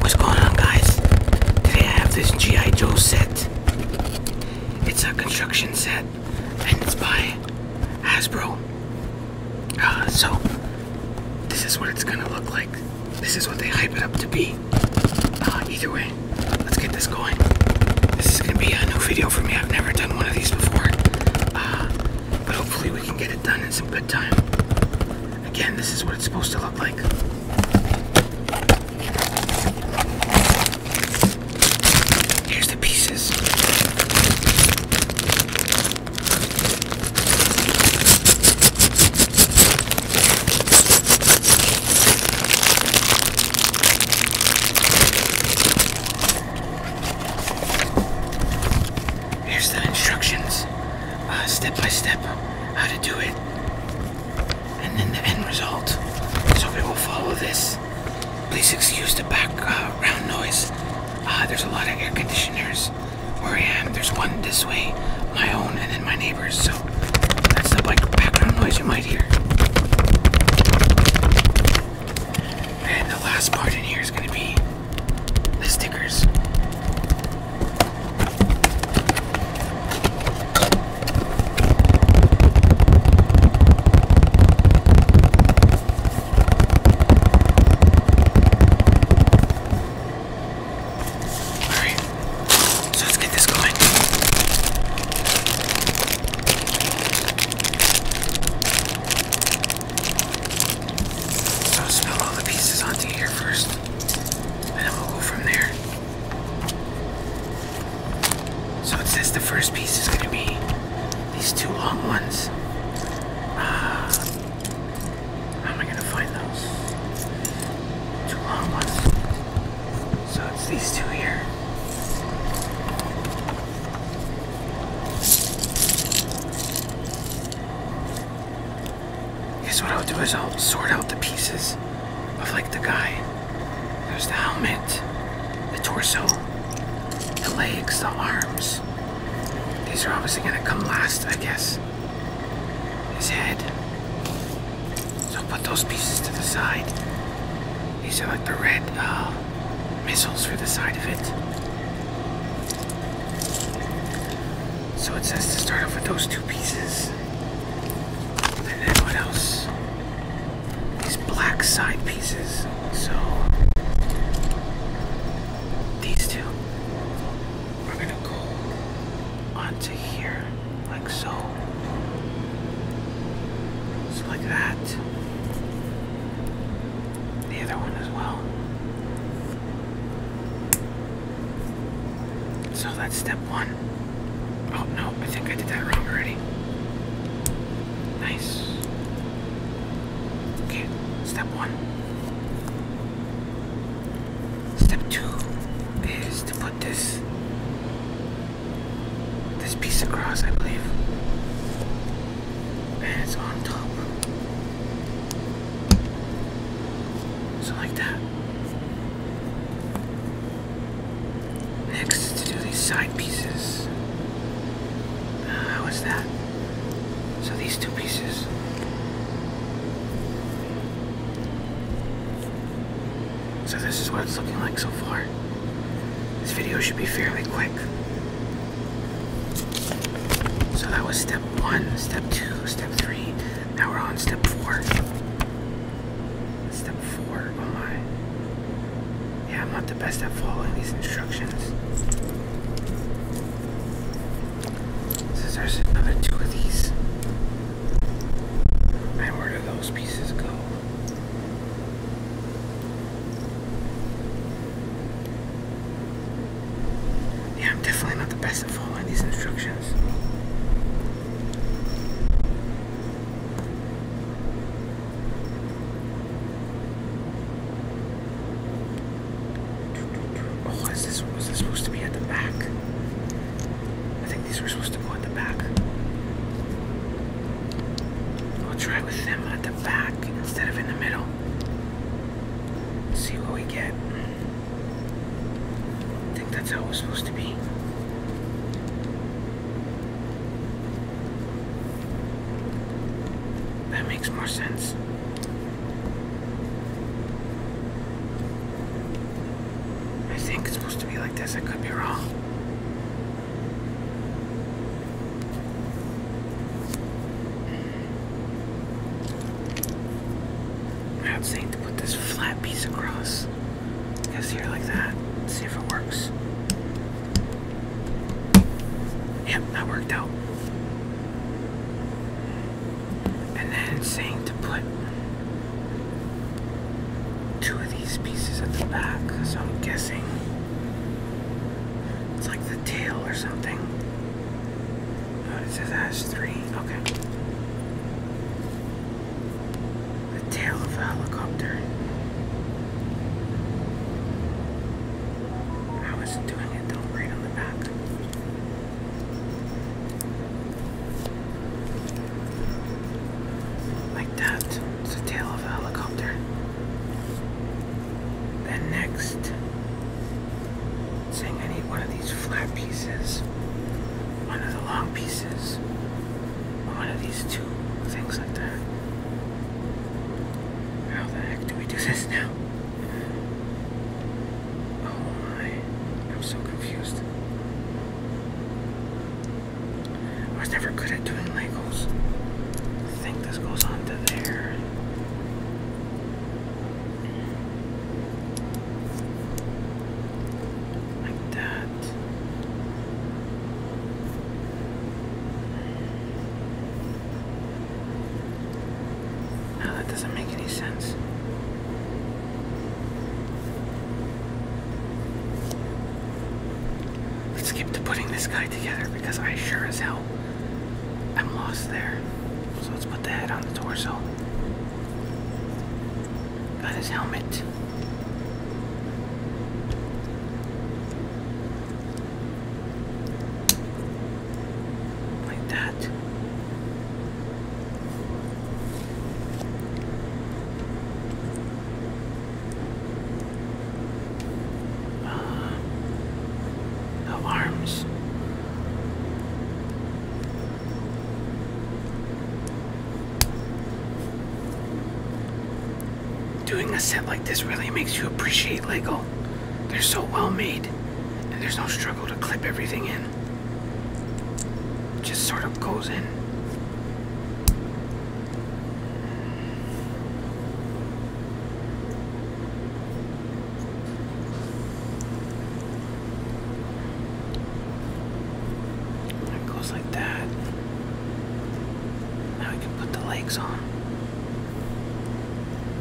What's going on guys? Today I have this G.I. Joe set. It's a construction set and it's by Hasbro. Uh, so this is what it's gonna look like. This is what they hype it up to be. Uh, either way, let's get this going. This is gonna be a new video for me. I've never done one of these before. Uh, but hopefully we can get it done in some good time. Again, this is what it's supposed to look like. Here's the pieces. Here's the instructions. Uh, step by step how to do it and then the end result. So we will follow this. Please excuse the background uh, noise. there's a lot of air conditioners where I am. There's one this way, my own, and then my neighbor's. So that's the background noise you might hear. And the last part in here is going to be the stickers. Alright, so let's get this going. So spill all the pieces onto here first, and then we'll go from there. So it says the first piece is going to be these two long ones. Uh, how am I going to find those? Two long ones. So it's these two here. Guess what I'll do is I'll sort out the pieces of like the guy. There's the helmet, the torso, the legs, the arms. These are obviously gonna come last, I guess. His head. So I'll put those pieces to the side. These are like the red, uh, missiles for the side of it. So it says to start off with those two pieces. And then what else? These black side pieces. So these two are gonna go onto here, like so. So like that the other one as well. So that's step one. Oh no, I think I did that wrong already. Nice. Okay, step one. Step two is to put this this piece across, I believe it's on top. So like that. Next to do these side pieces. Uh, how is that? So these two pieces. So this is what it's looking like so far. This video should be fairly quick. So that was step one, step two, step three. Now we're on step four. Step four, oh my. Yeah, I'm not the best at following these instructions. Since there's another two of these. And where do those pieces go? Yeah, I'm definitely not the best at following these instructions. Oh, is this was this supposed to be at the back? I think these were supposed to go at the back. We'll try with them at the back instead of in the middle. See what we get. I think that's how it's supposed to be. That makes more sense. I think it's supposed to be like this, I could be wrong. I'd to put this flat piece across. Guess here like that. see if it works. Yep, that worked out. And then saying to put two of these pieces at the back, so I'm guessing it's like the tail or something. Oh, it says has 3 Okay. The tail of a helicopter. How is it doing it though, right on the back? Like that. It's a tail of a helicopter. Then next, saying I need one of these flat pieces, one of the long pieces, one of these two things like that. How the heck do we do this now? Oh my, I'm so confused. I was never good at doing Legos. I think this goes on to there. Like that. No, that doesn't make any sense. Let's skip to putting this guy together because I sure as hell I'm lost there. So let's put the head on the torso. Got his helmet. Like that. Uh, no arms. Doing a set like this really makes you appreciate Lego. They're so well made, and there's no struggle to clip everything in just sort of goes in. It goes like that. Now we can put the legs on.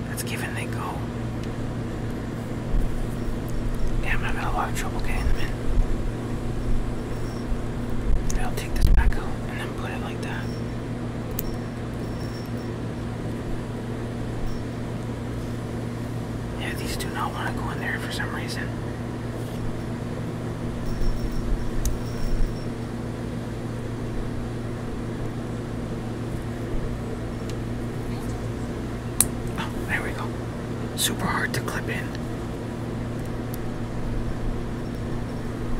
Let's give and they go. Damn, I'm having a lot of trouble getting them in. I'll take this back out and then put it like that. Yeah, these do not want to go in there for some reason. Oh, there we go super hard to clip in.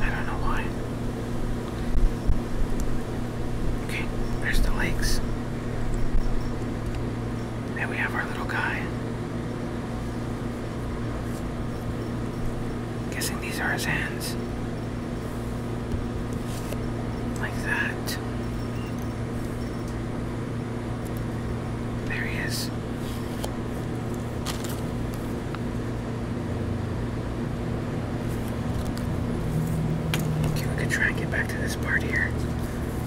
I don't know why. Okay, there's the legs. There we have our little guy. Guessing these are his hands. Like that. There he is. Okay, we could try and get back to this part here.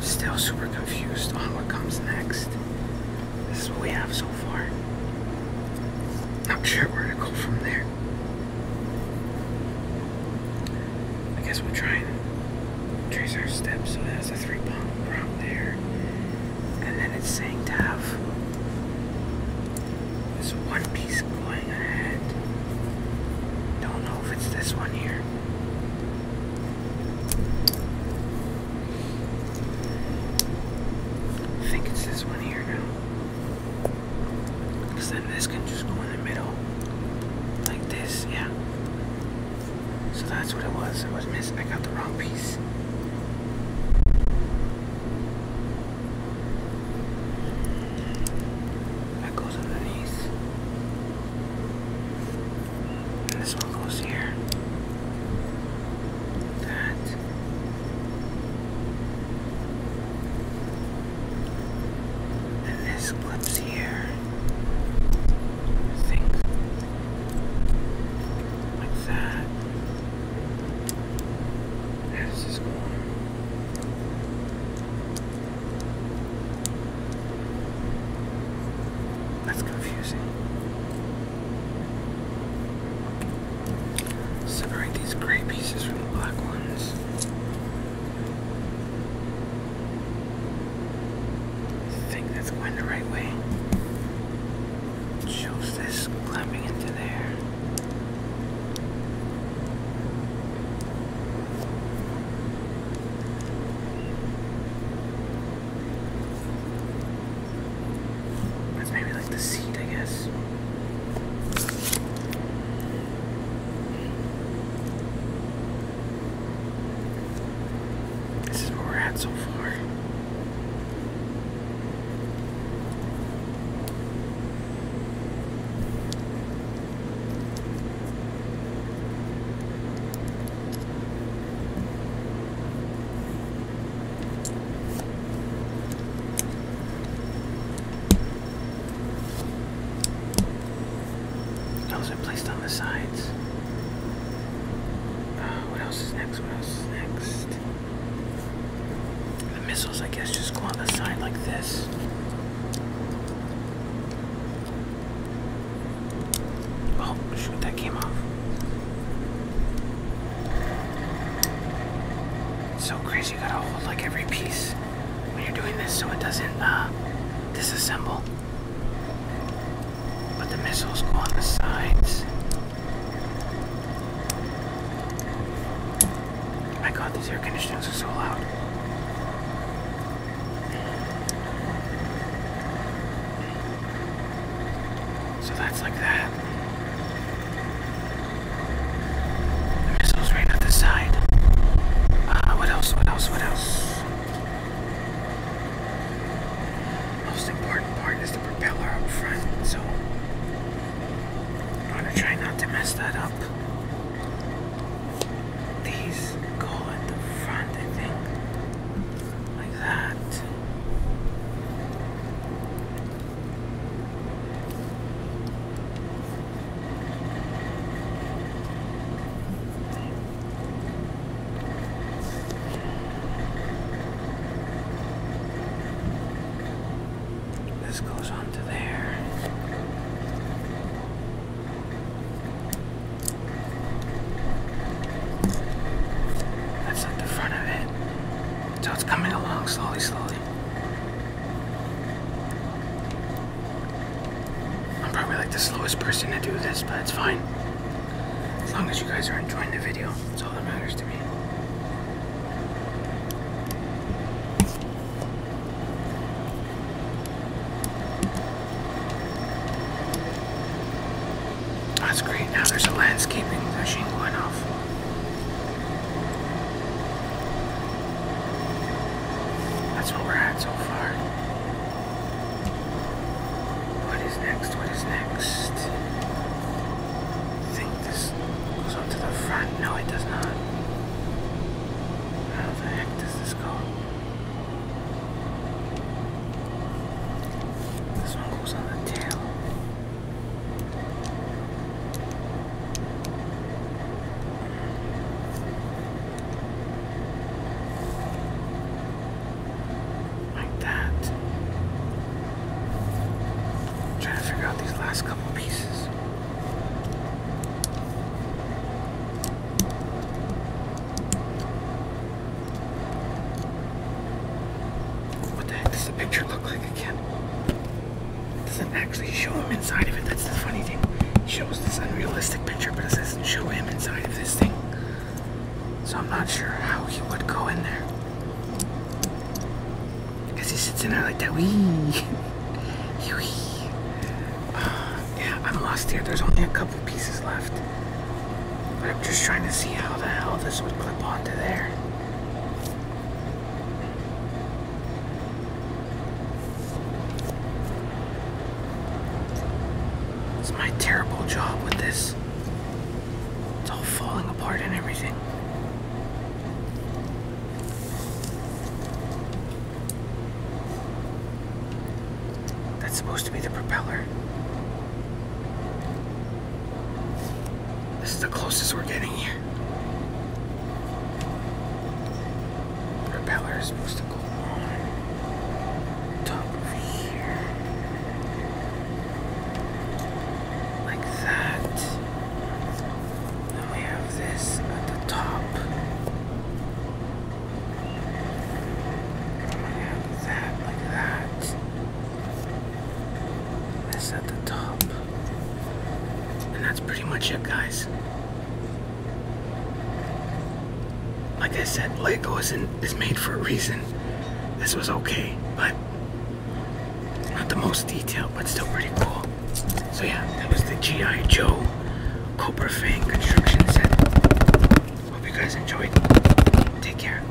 Still super confused on what comes next. This is what we have so far. Not sure where to go from there. I guess we'll try and trace our steps, so that's a three pound prompt there. And then it's saying to have this one piece going ahead. Don't know if it's this one here. I think it's this one here now. Because then this can just go in the middle. Like this, yeah. So that's what it was. I was missing. I got the wrong piece. That goes underneath. And this one goes here. That. And this clips here. think. Like that. There's this one. That's confusing. Separate these gray pieces from the black ones. I think that's going the right way. Shows this climbing into there. That's maybe like the seat, I guess. This is where we're at so far. Those are placed on the sides. Uh, what else is next? What else next? The missiles, I guess, just go on the side like this. Oh, shoot, that came off. So crazy you gotta hold like every piece when you're doing this so it doesn't uh, disassemble. But the missiles go on the sides. My god, these air conditioners are so loud. So that's like that. The missiles right at the side. Uh, what else? What else? What else? Most important part is the propeller up front, so I want to try not to mess that up. These go at the front, I think, like that. This goes on to there. That's not the front of it. So it's coming along slowly, slowly. I'm probably like the slowest person to do this, but it's fine. As long as you guys are enjoying the video, that's all that matters to me. That's great. Now there's a landscaping machine going off. That's what we're at so far. What is next? What is next? I think this goes on to the front. No, it does not. How the heck does this go? This one goes on the tail. Like that. trying to figure out these last couple pieces. What the heck does the picture look like again? It doesn't actually show him inside of it. That's the funny thing. shows this unrealistic picture, but it doesn't show him inside of this thing. So I'm not sure how he would go in there. Because he sits in there like that. Wee. Wee. Uh, yeah, I'm lost here. There's only a couple pieces left. But I'm just trying to see how the hell this would clip onto there. It's my terrible job with this. It's all falling apart and everything. That's supposed to be the propeller. This is the closest we're getting here. The propeller is supposed to go on top of here. Like that. Then we have this at the top. we have that like that. That's at the top. And that's pretty much it, guys. Like I said, Lego isn't is made for a reason. This was okay, but not the most detailed, but still pretty cool. So yeah, that was the G.I. Joe Cobra Fang construction set. Hope you guys enjoyed. Take care.